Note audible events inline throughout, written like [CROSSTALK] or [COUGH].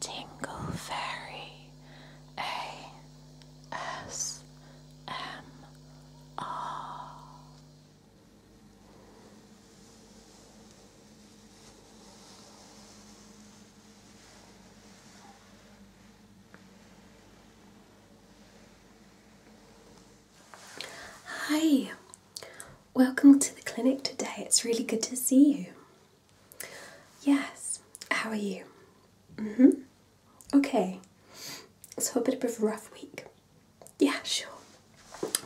Tingle Fairy ASMR. Hi, welcome to the clinic today. It's really good to see you. Yes, how are you? Mm hmm. Okay, so a bit of a rough week. Yeah, sure.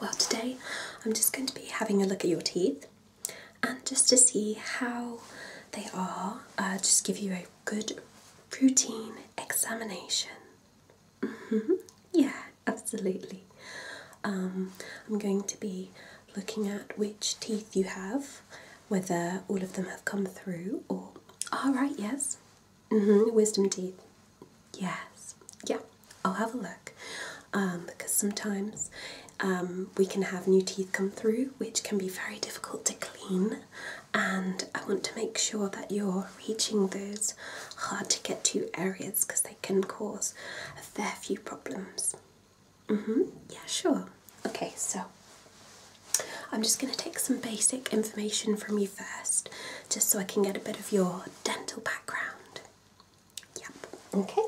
Well, today I'm just going to be having a look at your teeth and just to see how they are, uh, just give you a good routine examination. hmm. Yeah, absolutely. Um, I'm going to be looking at which teeth you have, whether all of them have come through or. All ah, right, yes. Mm-hmm, wisdom teeth. Yes. Yeah. I'll have a look um, because sometimes um, we can have new teeth come through, which can be very difficult to clean. And I want to make sure that you're reaching those hard to get to areas because they can cause a fair few problems. Mm hmm Yeah, sure. Okay, so I'm just going to take some basic information from you first, just so I can get a bit of your dental background. Yep. Okay.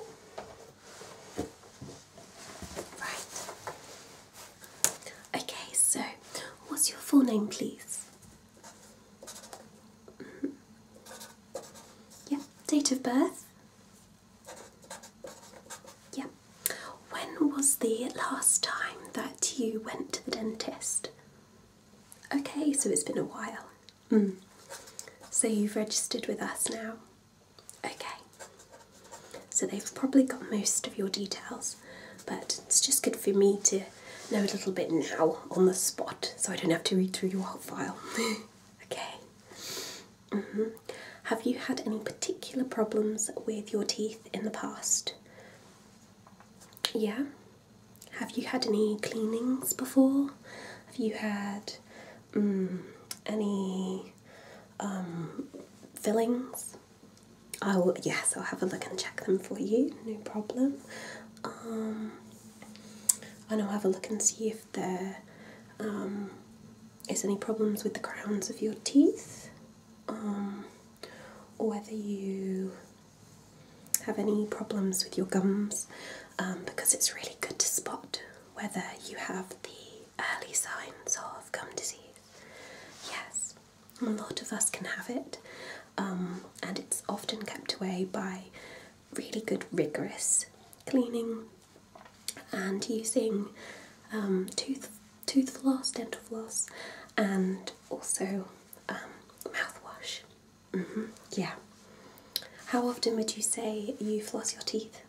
Right. Okay, so what's your full name, please? Mm Yep. Date of birth. Yeah. When was the last time that you went to the dentist? Okay, so it's been a while. Mm. So you've registered with us now? Okay. So they've probably got most of your details, but it's just good for me to know a little bit now on the spot so I don't have to read through your whole file. [LAUGHS] Okay. Mm-hmm. Have you had any particular problems with your teeth in the past? Yeah. Have you had any cleanings before? Have you had mm, any um, fillings? Oh yes, I'll have a look and check them for you, no problem. Um, and I'll have a look and see if there um, is any problems with the crowns of your teeth, um, or whether you have any problems with your gums, um, because it's really good to spot whether you have the early signs of gum disease. Yes, a lot of us can have it, and it's often kept away by really good, rigorous cleaning and using um, tooth, tooth floss, dental floss, and also um, mouthwash. Mm-hmm. Yeah. How often would you say you floss your teeth?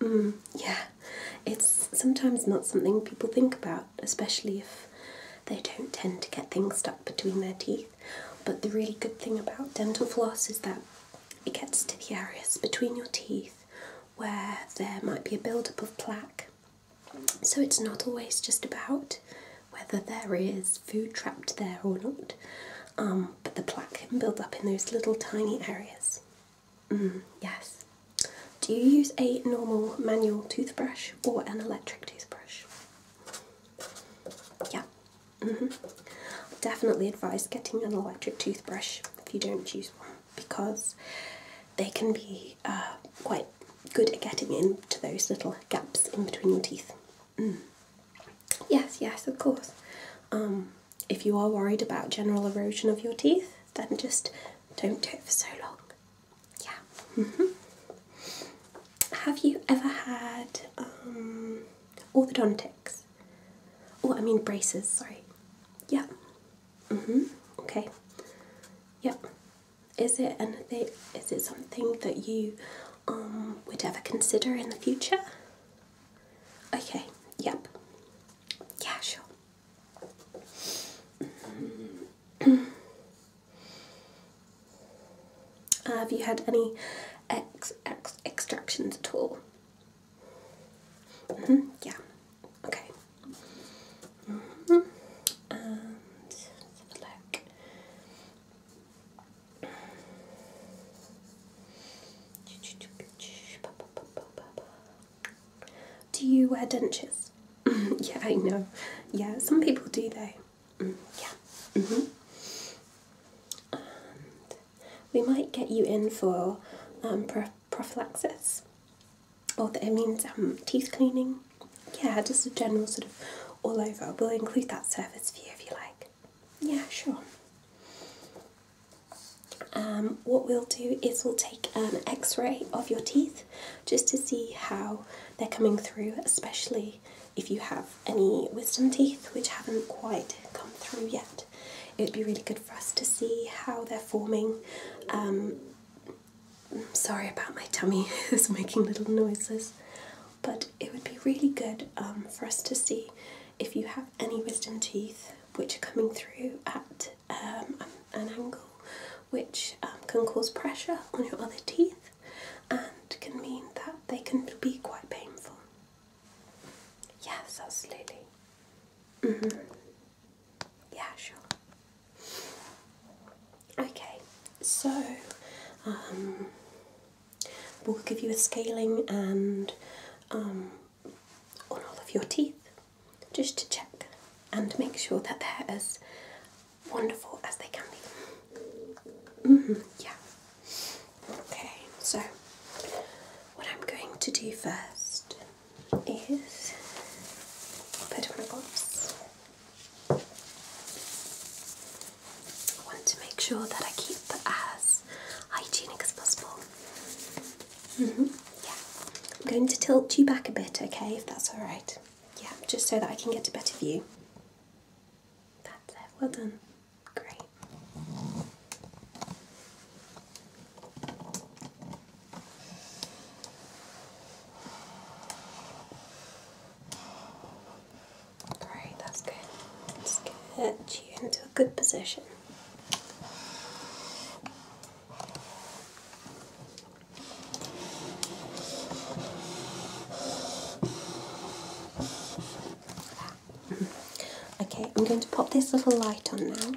Mm, yeah, it's sometimes not something people think about, especially if they don't tend to get things stuck between their teeth. But the really good thing about dental floss is that it gets to the areas between your teeth where there might be a buildup of plaque. So it's not always just about whether there is food trapped there or not, um, but the plaque can build up in those little tiny areas. Mm, yes. Do you use a normal manual toothbrush or an electric toothbrush? Yeah, Mm -hmm. definitely advise getting an electric toothbrush if you don't use one because they can be uh, quite good at getting into those little gaps in between your teeth. Mm. Yes, yes, of course. Um, if you are worried about general erosion of your teeth, then just don't do it for so long. Yeah. Mm -hmm have you ever had um, orthodontics? Or oh, I mean braces, sorry. Yeah. Mm-hmm. Okay. Yep. Is it anything is it something that you um, would ever consider in the future? Okay, yep. Yeah, sure. [CLEARS THROAT] Uh, have you had any ex ex extractions at all? Mm-hmm, yeah. Okay. Mm-hmm. And look. Do you wear dentures? [LAUGHS] yeah, I know. Yeah, some people do though yeah. Mm -hmm. we might get you in for um, prophylaxis, or that it means um, teeth cleaning. Yeah, just a general sort of all over. We'll include that service for you if you like. Yeah, sure. Um, what we'll do is we'll take an x-ray of your teeth just to see how they're coming through, especially if you have any wisdom teeth which haven't quite come through yet. It would be really good for us to see how they're forming. I'm um, sorry about my tummy, [LAUGHS] it's making little noises, but it would be really good um, for us to see if you have any wisdom teeth which are coming through at um, an angle which can cause pressure on your other teeth and can mean that they can be quite painful. Yes, absolutely. Mm-hmm. Yeah, sure. Okay, so um, we'll give you a scaling and um, on all of your teeth just to check and make sure that they're as wonderful as they can be. Mm-hmm, yeah. Okay, so what I'm going to do first is put on gloves. I want to make sure that I keep as hygienic as possible. -hmm. Yeah, I'm going to tilt you back a bit, okay, if that's alright. Yeah, just so that I can get a better view. That's it, well done. Great. Great, that's good. Let's get you into a good position. Okay, I'm going to pop this little light on now.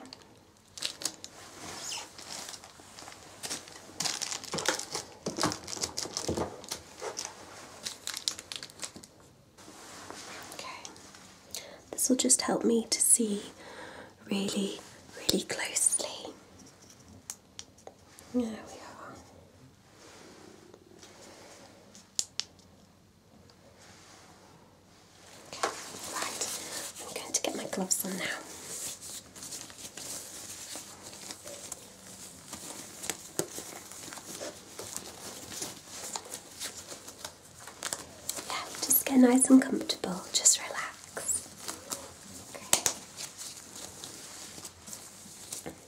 Okay, this will just help me to see really, really closely. There we are right. I'm going to get my gloves on now. Yeah, just get nice and comfortable, just relax.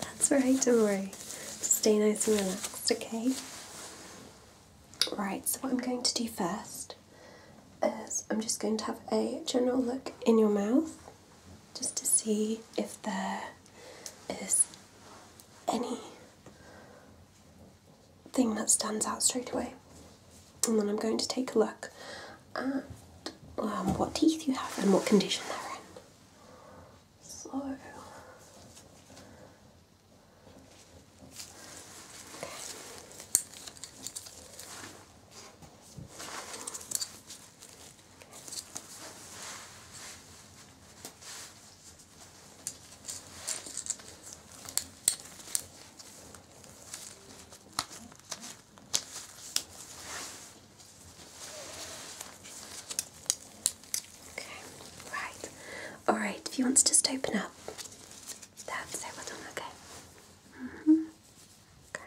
That's right, don't worry. Stay nice and relaxed, okay? Right, so what I'm going to do first is I'm just going to have a general look in your mouth just to see if there is any thing that stands out straight away and then I'm going to take a look at um, what teeth you have and what condition they're in. So, Okay, right. Alright, if you want to just open up that, so well done, okay? -hmm. Okay.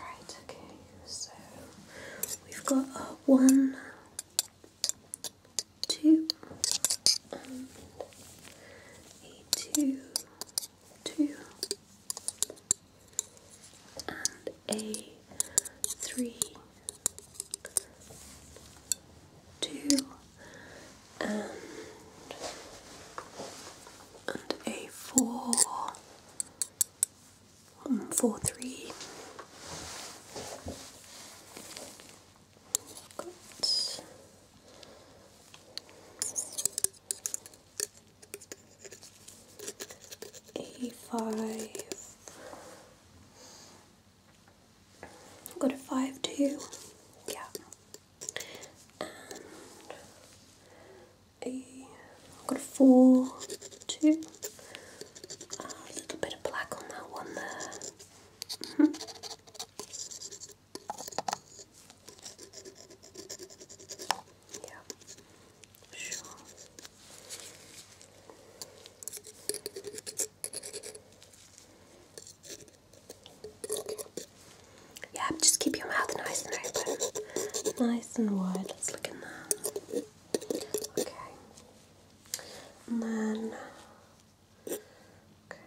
Right, okay, so we've got a one, two, and a two, two, and a three, two and a four one four three. Got a five. Got a five two. Yeah and I've got a four, two, ah, a little bit of black on that one there. Mm sure. Yeah, just keep your mouth nice and open. Nice and wide. Let's look in there. Okay. And then. Okay.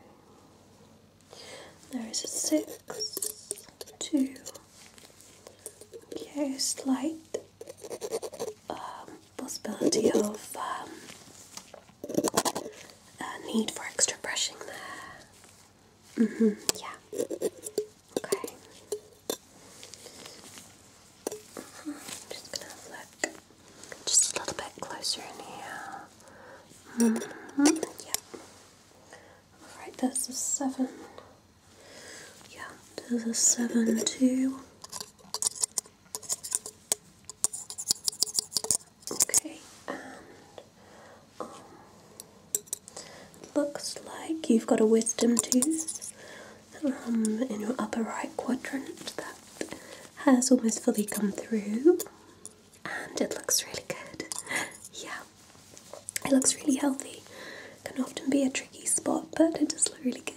There is a six, two. Okay, slight um, possibility of um, uh, need for extra brushing there. Mm hmm yeah. Okay. Uh-huh, just gonna look just a little bit closer in here. Mm-hmm, yeah. Alright, there's a seven. Yeah, there's a seven too. Okay, um, looks like you've got a wisdom tooth um, in your upper right quadrant that has almost fully come through, and it looks really good. Yeah, it looks really healthy. Can often be a tricky spot, but it does look really good.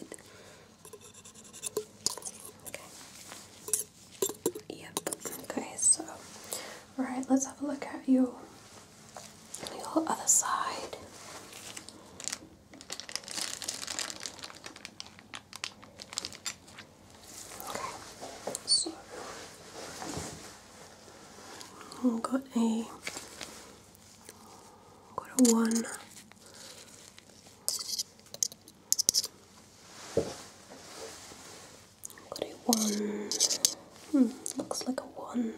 Yep. Okay. So, right. Let's have a look at your The other side. Okay. So, i got a got a one. Got a one. Hmm, looks like a one,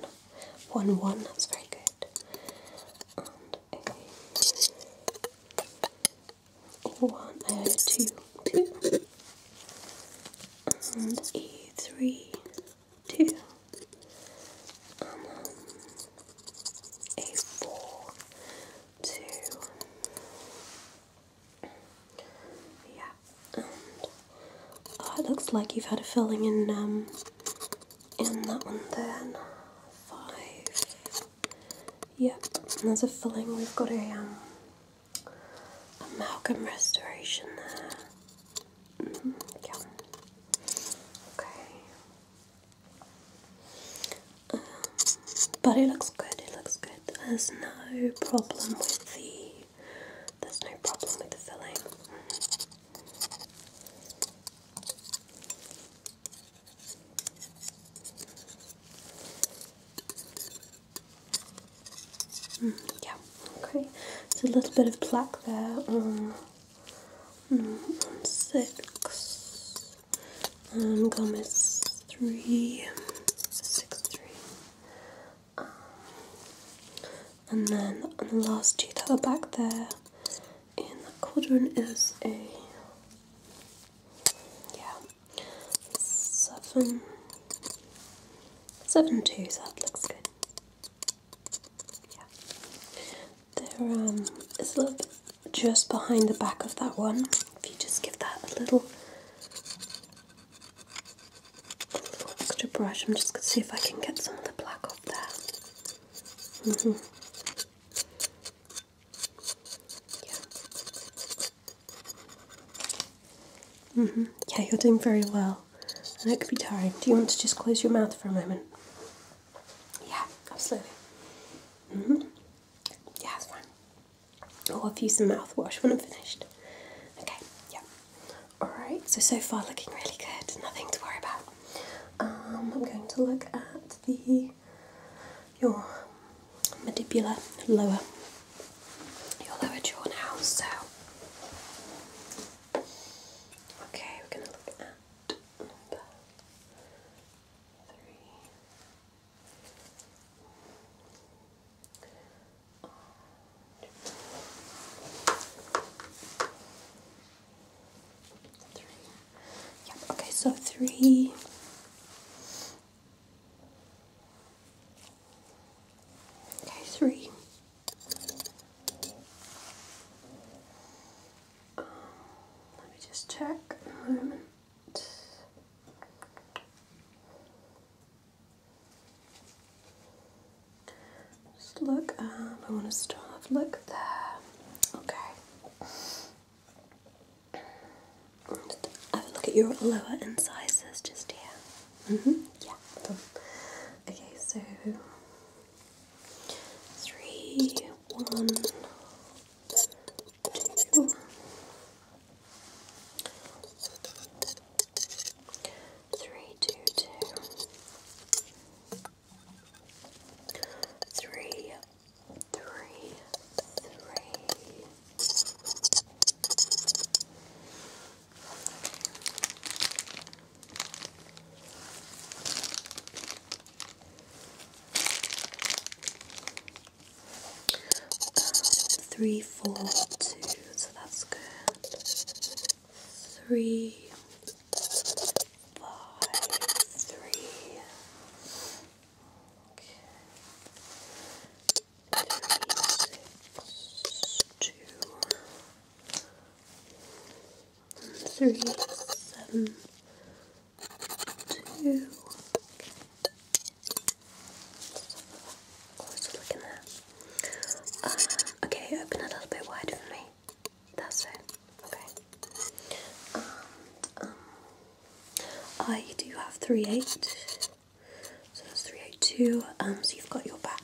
one one. that's very good. And a one, a two, two. And a three, two. And um, a four, two. Yeah, oh, it looks like you've had a filling in um in that one there. Five. Yep, and there's a filling. We've got a um amalgam restoration there. Mm-hmm. Okay. Um, but it looks good, it looks good. There's no problem with the there's no problem with the filling. Mm, yeah, okay. It's a little bit of plaque there on, mm, on six. Um, Gomez three, six three. Um, and then on the last two that are back there in that quadrant is a yeah seven seven two. So that looks good. Yeah, there um is a little bit just behind the back of that one. If you just give that a little, extra brush, I'm just going to see if I can get some of the black off there. -hmm. yeah. -hmm. yeah, you're doing very well. And it could be tiring. Do you want to just close your mouth for a moment? Yeah, absolutely. -hmm. Yeah, it's fine. I'll use some mouthwash when I'm finished. Okay, yeah. Alright, so so far looking really good, nothing to worry about. Um, I'm going to look at the your mandibular lower your lower jaw now, so okay, we're gonna look at number three, Three. Yep, okay, so three. Okay, three. Um, let me just check a moment. Just look I want to start. Look there. Okay. have a look at your lower incisors just here. Mm hmm Yeah. Okay, so three, one, Three, two, two. Three, three, three three, four, two, so that's good. Three, five, three. Okay. Three, six, two, three, seven, two. Closer okay, open a little bit wider for me. That's it. Okay. And, um, um, I do have three eight. So that's three eight two. Um, so you've got your back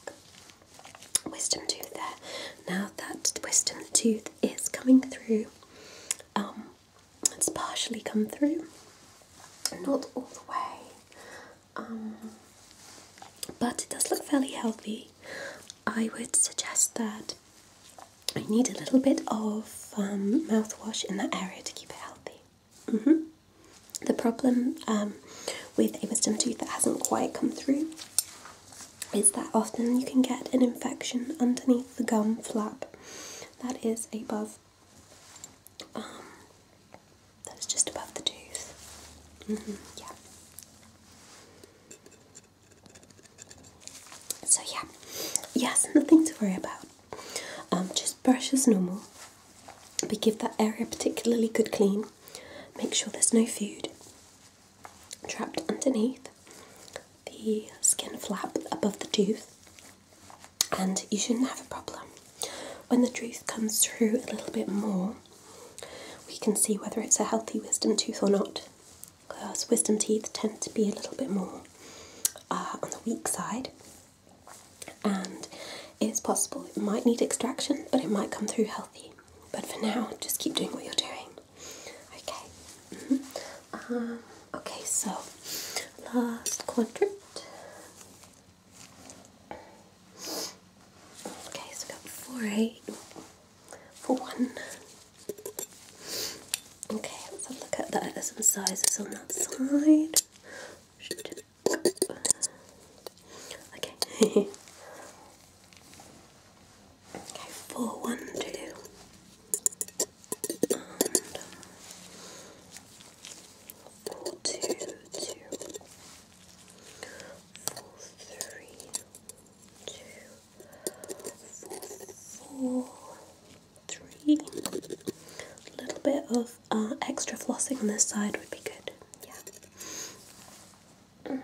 wisdom tooth there. Now that wisdom tooth is coming through. Um, it's partially come through, not all the way, um, but it does look fairly healthy. I would suggest that I need a little bit of um, mouthwash in that area to keep it healthy. Mm-hmm. The problem um, with a wisdom tooth that hasn't quite come through is that often you can get an infection underneath the gum flap that is above um, that's just above the tooth mm-hmm, yeah so yeah yes nothing to worry about um, just brush as normal but give that area particularly good clean make sure there's no food trapped underneath the skin flap above the tooth, and you shouldn't have a problem. When the tooth comes through a little bit more, we can see whether it's a healthy wisdom tooth or not. Because wisdom teeth tend to be a little bit more uh, on the weak side, and it's possible it might need extraction, but it might come through healthy. But for now, just keep doing what you're doing. Okay, [LAUGHS] Um, okay, so last quadrant. Okay, so we have got four eight for one. Okay, let's have a look at that. There's some sizes on that side. Okay. [LAUGHS] Okay, four, one, two, Four, two, two, four, three, two, four, four, three. A little bit of uh, extra flossing on this side would be good. Yeah. Mm.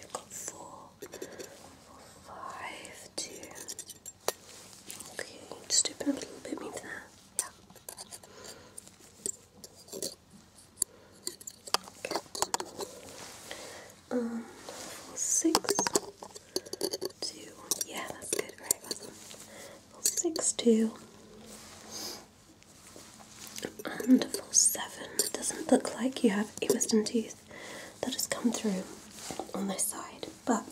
we've got four, four, five, two, Okay, just a little bit more there. Yeah. Okay. Um, four, six, two. Yeah, that's good. Right, awesome. Four, six, two. And four seven. doesn't look like you have a wisdom tooth tooth that has come through on this side, but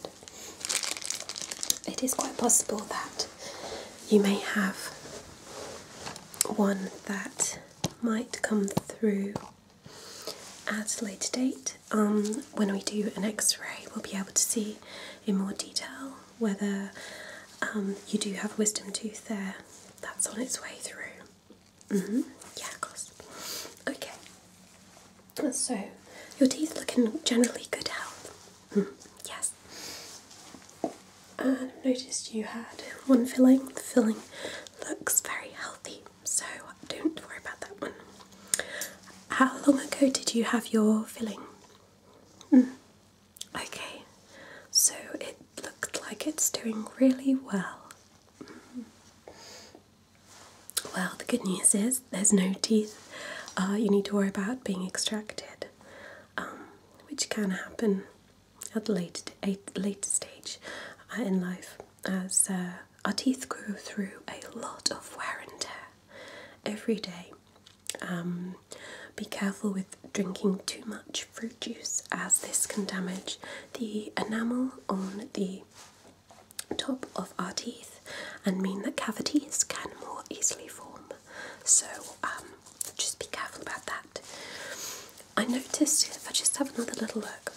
it is quite possible that you may have one that might come through at a later date. Um, when we do an x ray, we'll be able to see in more detail whether um, you do have a wisdom tooth there that's on its way through. Mm-hmm. Yeah, of course. Okay. So, your teeth look in generally good health. Hmm. Yes. And uh, I've noticed you had one filling. The filling looks very healthy, so don't worry about that one. How long ago did you have your filling? Mm. Okay. So it looked like it's doing really well. Mm-hmm. Well, the good news is there's no teeth uh, you need to worry about being extracted, um, which can happen at a later, later stage uh, in life as uh, our teeth grow through a lot of wear and tear every day. Um, be careful with drinking too much fruit juice as this can damage the enamel on the top of our teeth and mean that cavities can more easily form. So um, just be careful about that. I noticed, if I just have another little look.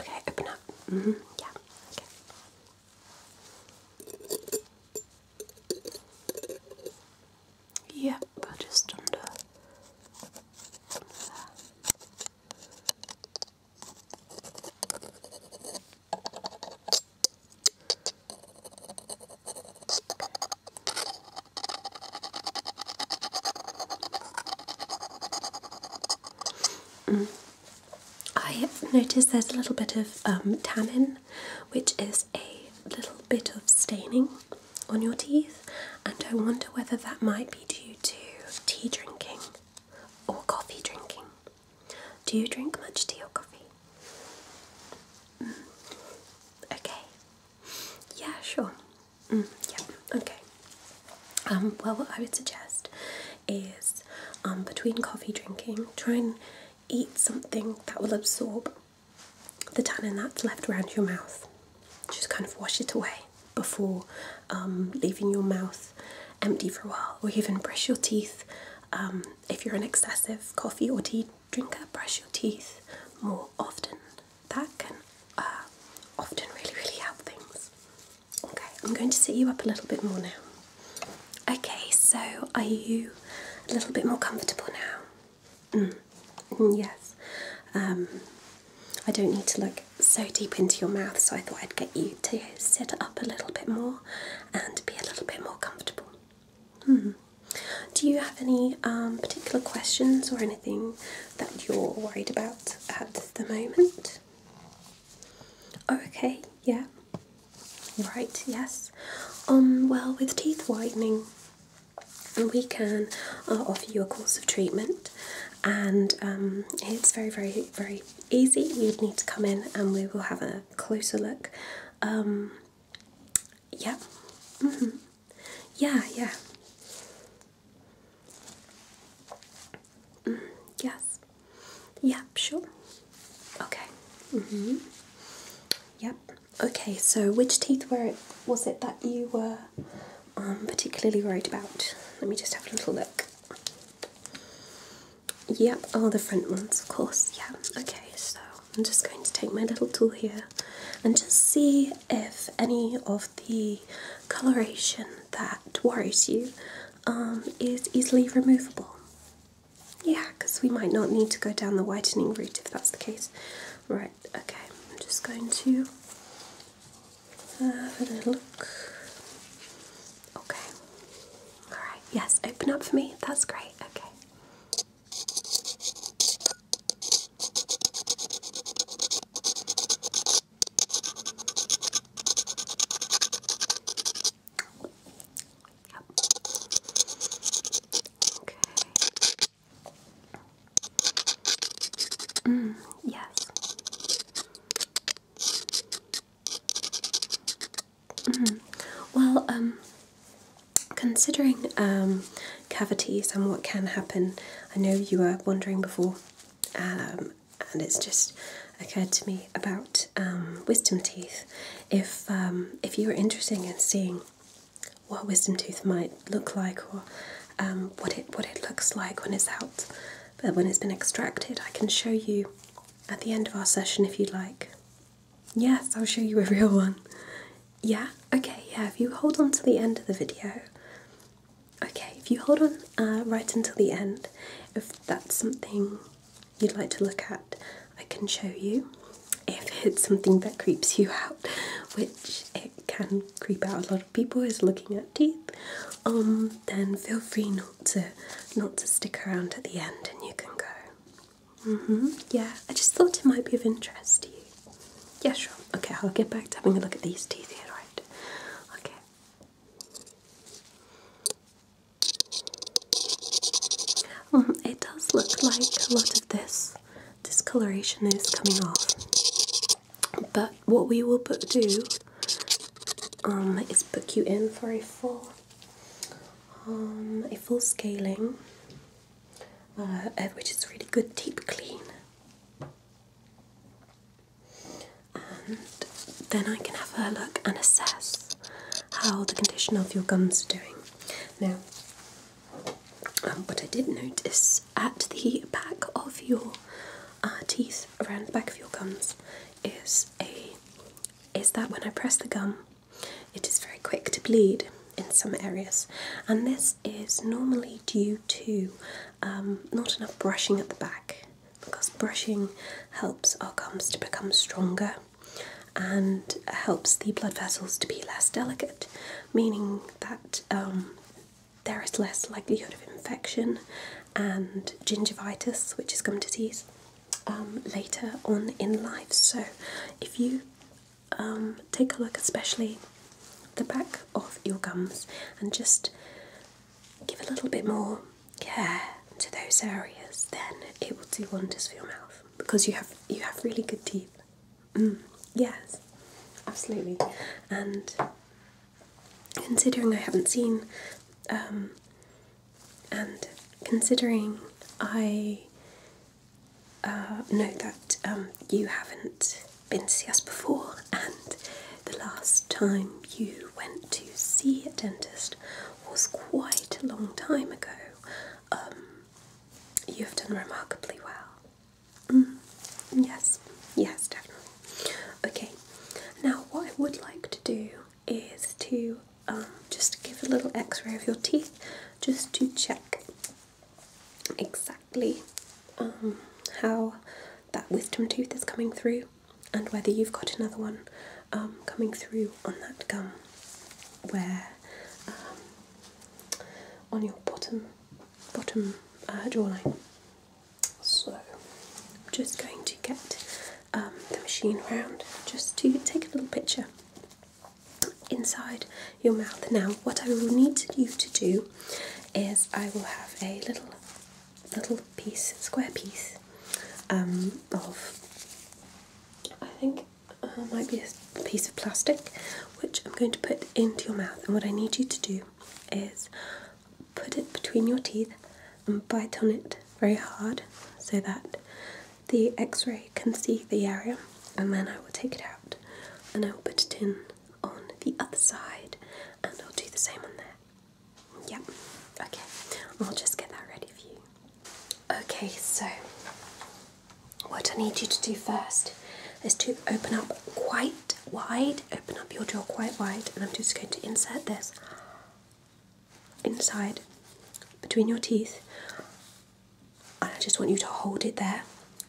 Okay, open up. Mm -hmm. Yeah, okay. just under, I have noticed there's a little bit of um, tannin, which is a little bit of staining on your teeth, and I wonder whether that might be. Do you do tea drinking or coffee drinking. Do you drink much tea or coffee? Mm. Okay. Yeah, sure. Mm, yeah, okay. Um, well, what I would suggest is um, between coffee drinking, try and eat something that will absorb the tannin that's left around your mouth just kind of wash it away before um, leaving your mouth empty for a while, or even brush your teeth. Um, if you're an excessive coffee or tea drinker, brush your teeth more often. That can uh, often really, really help things. Okay, I'm going to sit you up a little bit more now. Okay, so are you a little bit more comfortable now? Mm. Mm, yes. Um, I don't need to look so deep into your mouth, so I thought I'd get you to sit up a little bit more and be a little bit more comfortable. Hmm. Do you have any um, particular questions or anything that you're worried about at the moment? okay, yeah. Right, yes. Um, well, with teeth whitening, we can uh, offer you a course of treatment and um, it's very, very, very easy. we would need to come in and we will have a closer look. Um, yeah, mm -hmm. yeah, yeah. Mm, yes. Yep. sure. Okay. Mm -hmm. Yep. Okay, so which teeth were it was it that you were I'm particularly worried about. Let me just have a little look. Yep, oh, the front ones, of course. Yeah, okay, so I'm just going to take my little tool here and just see if any of the coloration that worries you um, is easily removable. Yeah, because we might not need to go down the whitening route if that's the case. Right, okay, I'm just going to have a look. Okay. Alright, yes, open up for me. That's great. Okay. Yep. Okay. Mm, yes. Mm. Well, um, considering um, cavities and what can happen, I know you were wondering before, um, and it's just occurred to me about wisdom teeth. If if you were interested in seeing what wisdom tooth might look like or um, what it what it looks like when it's out, but uh, when it's been extracted, I can show you at the end of our session if you'd like. Yes, I'll show you a [LAUGHS] real one. Yeah, okay, yeah. If you hold on to the end of the video, okay. If you hold on uh, right until the end, if that's something you'd like to look at, I can show you. If it's something that creeps you [LAUGHS] out, which it can creep out a lot people is looking at teeth, um, then feel free not to not to stick around at the end, and you can go. Mm-hmm. Yeah, I just thought it might be of interest to you. Yeah, sure. Okay, I'll get back to having a look at these teeth here, right? Okay. Mm-hmm. it does look like a lot of this discoloration is coming off. But what we will do um, is book you in for a full um, a full scaling, uh, which is really good deep clean. And then I can have a look and assess how the condition of your gums are doing. Now, um, what I did notice at the back of your uh, teeth, around the back of your gums, is a is that when I press the gum, it is very quick to bleed in some areas, and this is normally due to um, not enough brushing at the back because brushing helps our gums to become stronger and helps the blood vessels to be less delicate, meaning that um, there is less likelihood of infection and gingivitis, which is gum disease, um, later on in life. So, if you um, take a look, especially the back of your gums, and just give a little bit more care to those areas, then it will do wonders for your mouth because you have you have really good teeth. [CLEARS THROAT] yes, absolutely. And considering I haven't seen, um, and considering I uh, know that um, you haven't been to see us before, and the last time you went to see a dentist was quite a long time ago, um, you have done remarkably well. Mm. yes, yes, definitely. Okay, now what I would like to do is to um, just give a little x ray of your teeth just to check exactly um, how that wisdom tooth is coming through and whether you've got another one um, coming through on that gum where on your bottom bottom uh, jawline. So I'm just going to get um, the machine round just to take a little picture inside your mouth. Now, what I will need you to do is I will have a little little piece, square piece um, of I think uh, might be a piece of plastic which I'm going to put into your mouth. And what I need you to do is put it between your teeth and bite on it very hard so that the x ray can see the area. And then I will take it out and I will put it in on the other side and I'll do the same on there. Yep, okay, I'll just get that ready for you. Okay, so what I need you to do first is to open up quite wide, open up your jaw quite wide, and I'm just going to insert this inside between your teeth. And I just want you to hold it there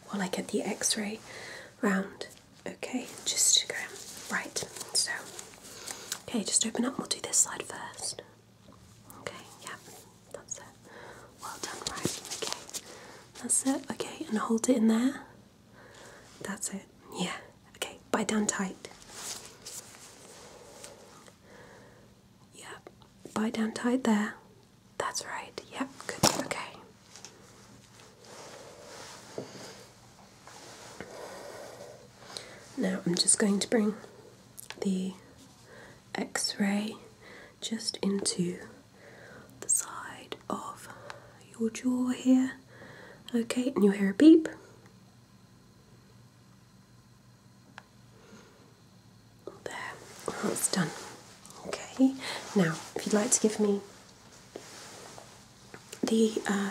while I get the x ray round. Okay, just to go right. So, okay, just open up. We'll do this side first. Okay, yeah, that's it. Well done, right? Okay, that's it. Okay, and hold it in there. That's it. Yeah. Okay, bite down tight. Yep. Bite down tight there. That's right. Yep. Good. Okay. Now I'm just going to bring the x ray just into the side of your jaw here. Okay, and you hear a beep. There, that's oh, done. Okay, now if you'd like to give me the uh,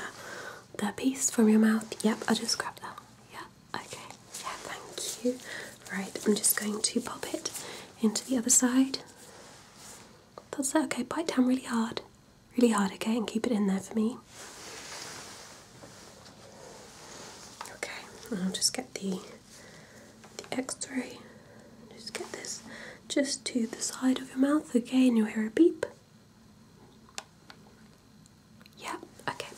the piece from your mouth, yep, I just grabbed that. Yeah, okay, yeah, thank you. Right, I'm just going to pop it into the other side. That's it. Okay, bite down really hard. Really hard, okay, and keep it in there for me. Okay, I'll just get the the X-ray. Just get this just to the side of your mouth, okay, and you hear a beep. Yeah, okay,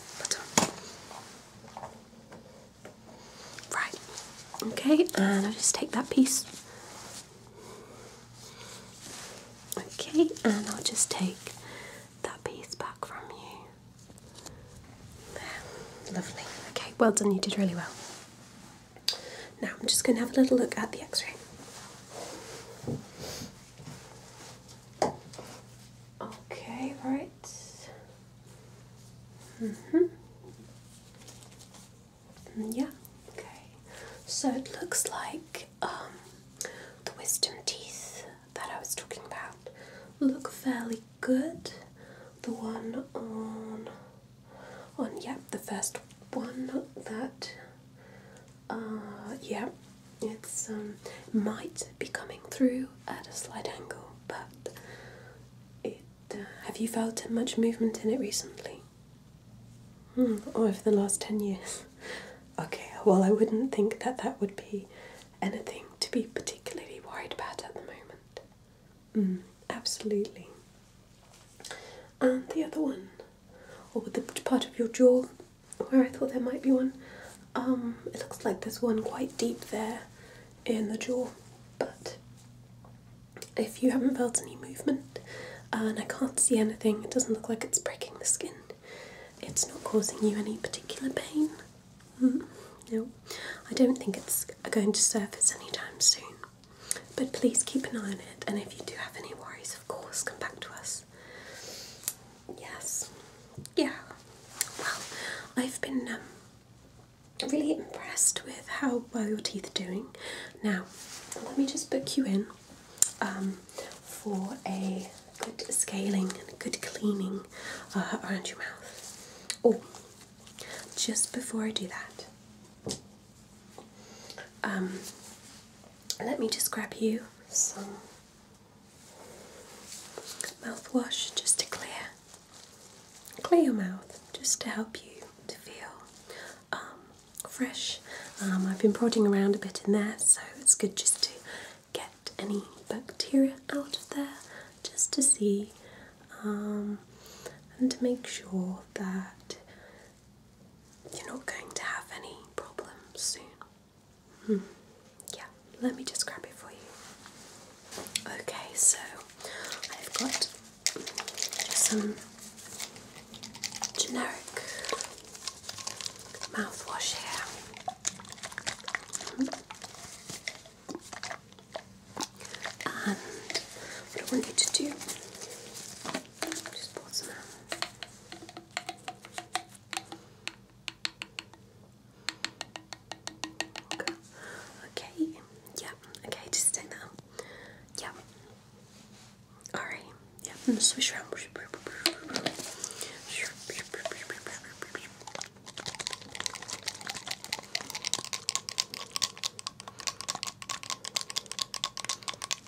Right, okay, and I'll just take that piece. Okay, and I'll just take that piece back from you. There, lovely. Okay, well done, you did really well. Now I'm just going to have a little look at the x ray. Okay, right. Mm-hmm. Mm -hmm. Yeah, okay. So it looks like um, the wisdom teeth that I was talking about look fairly good. The one on, on yep, yeah, the first one that, uh, yeah, it's um might be coming through at a slight angle, but it have you felt much movement in it recently? Hmm, or oh, over the last 10 years? [LAUGHS] okay, well, I wouldn't think that that would be anything to be particularly worried about at the moment. Hmm, absolutely. And the other one, or the part of your jaw where I thought there might be one, um, it looks like there's one quite deep there in the jaw. But if you haven't felt any movement and I can't see anything, it doesn't look like it's breaking the skin, it's not causing you any particular pain. Hmm, no, I don't think it's going to surface anytime soon. But please keep an eye on it, and if you do have any worries, of course, come back to us. Yes, yeah. Well, I've been um, really impressed with how well your teeth are doing. Now, let me just book you in um, for a good scaling and a good cleaning uh, around your mouth. Oh, just before I do that, um, let me just grab you some mouthwash just to clear clear your mouth just to help you to feel um, fresh. Um, I've been prodding around a bit in there, so it's good just to get any bacteria out of there just to see um, and to make sure that you're not going to have any problems soon. Hmm. Yeah, let me just grab it for you. Okay, so I've got some generic mouthwash here. And what I want you to do, just pour some out. Okay. okay. Okay. Just take that. Yeah. All right. Yeah. Mm,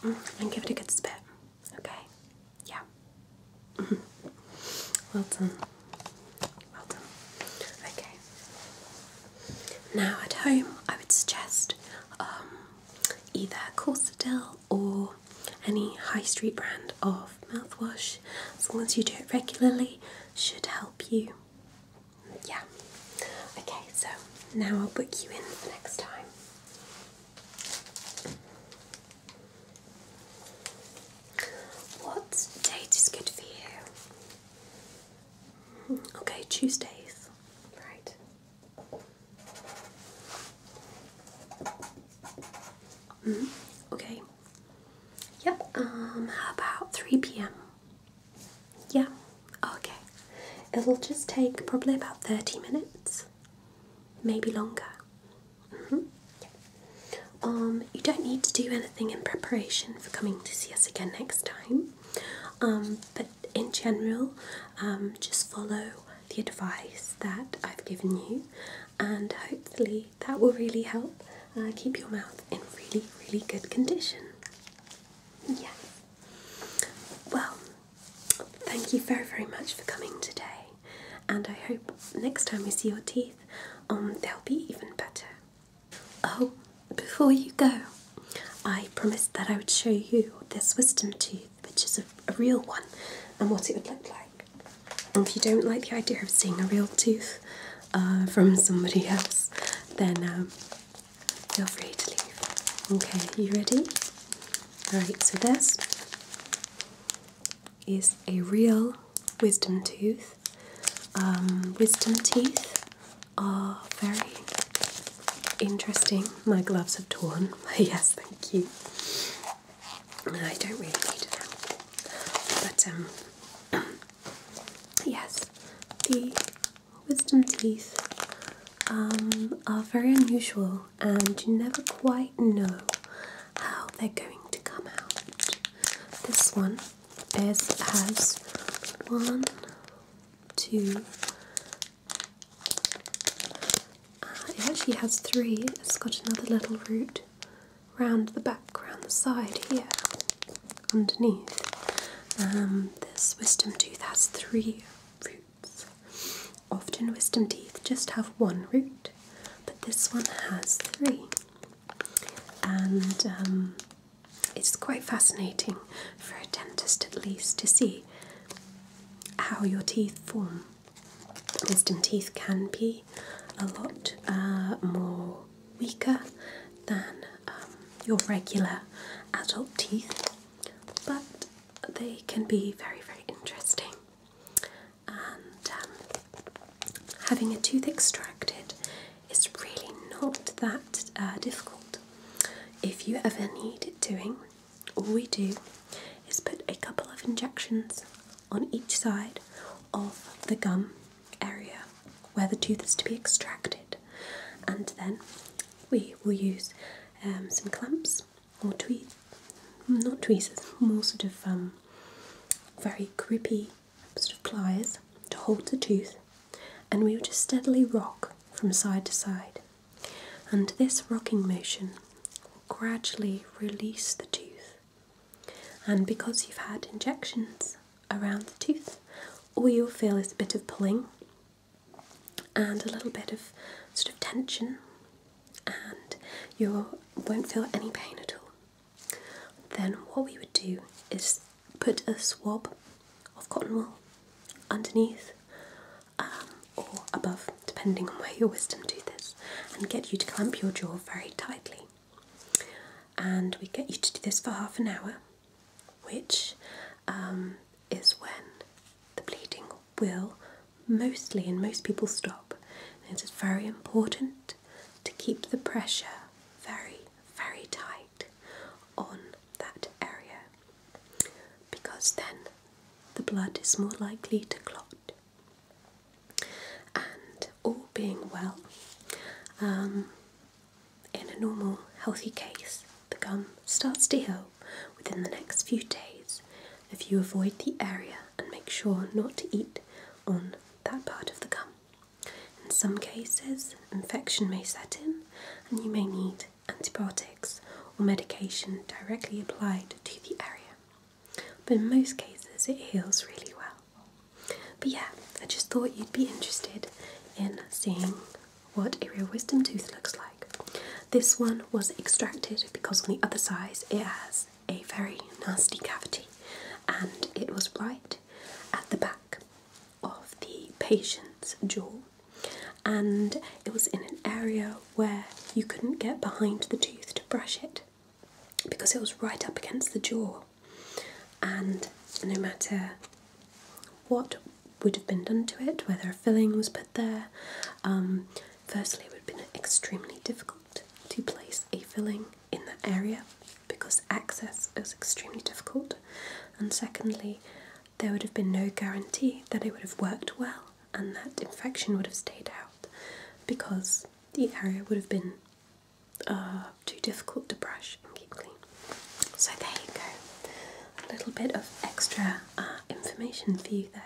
around. and give it a good spit. Okay. Yeah. Mm-hmm. Well done. Well done. Okay. Now at home, I would suggest um, either Corsadil or any high street brand of mouthwash. As long as you do it regularly, should help you. Yeah. Okay. So now I'll book you in for next time. What date is good for you? Okay, Tuesdays. Right. Mm-hmm. Okay. Yep. Um, about 3 p.m.? Yeah. Oh, okay. It'll just take probably about 30 minutes, maybe longer. -hmm. Um, you don't need to do anything in preparation for coming to see us again next time, um, but in general, um, just follow the advice that I've given you, and hopefully, that will really help uh, keep your mouth in really, really good condition. Yeah. Well, thank you very, very much for coming today, and I hope next time we see your teeth, they'll be even better. Oh, before you go, I promised that I would show you this wisdom tooth, which is a, real one, and what it would look like. And if you don't like the idea of seeing a real tooth uh, from somebody else, then um, feel free to leave. Okay, are you ready? Alright, so this is a real wisdom tooth. Um, wisdom teeth are very interesting. My gloves have torn. [LAUGHS] yes, thank you. I don't really need them, but um, [CLEARS THROAT] yes, the wisdom teeth um, are very unusual, and you never quite know how they're going to come out. This one is has one, two. Uh, it actually has three. It's got another little root round the back, round the side here, underneath. Um, this wisdom tooth has three roots. Often wisdom teeth just have one root, but this one has three and um, it's quite fascinating for a dentist at least to see how your teeth form. Wisdom teeth can be a lot uh, more weaker than um, your regular adult teeth, but they can be very, very interesting. Um, having a tooth extracted is really not that uh, difficult. If you ever need it doing, all we do is put a couple of injections on each side of the gum area where the tooth is to be extracted, and then we will use um, some clamps or tweezers, not tweezers, more sort of um, very grippy sort of pliers to hold the tooth, and we will just steadily rock from side to side. And this rocking motion will gradually release the tooth. And because you've had injections around the tooth, all you'll feel is a bit of pulling and a little bit of sort of tension, and you won't feel any pain at all. Then what we would do is put a swab of cotton wool underneath um, or above, depending on where your wisdom tooth is, and get you to clamp your jaw very tightly. And we get you to do this for half an hour, which um, is when the bleeding will mostly in most people stop. And it is very important to keep the pressure very, very tight on that area because then the blood is more likely to clot. And all being well, um, in a normal healthy case, the gum starts to heal within the next few days if you avoid the area and make sure not to eat on that part of the gum. In some cases, infection may set in and you may need antibiotics or medication directly applied to the area. But in most cases, it heals really well. But yeah, I just thought you'd be interested in seeing what a real wisdom tooth looks like. This one was extracted because on the other side it has a very nasty cavity, and it was right at the back of the patient's jaw, and it was in an area where you couldn't get behind the tooth to brush it because it was right up against the jaw, and no matter what would have been done to it, whether a filling was put there. Um, firstly, it would have been extremely difficult to place a filling in that area because access is extremely difficult, and secondly, there would have been no guarantee that it would have worked well and that infection would have stayed out because the area would have been uh, too difficult to brush and keep clean. So, there you go, a little bit of extra uh, information for you there.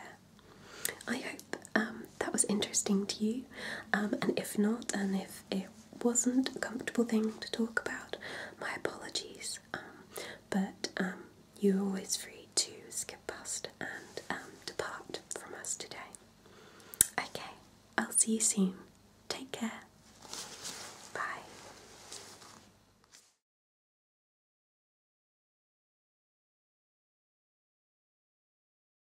I hope um, that was interesting to you, um, and if not, and if it wasn't a comfortable thing to talk about, my apologies. Um, but you're always free to skip past and depart from us today. Okay, I'll see you soon. Take care. Bye.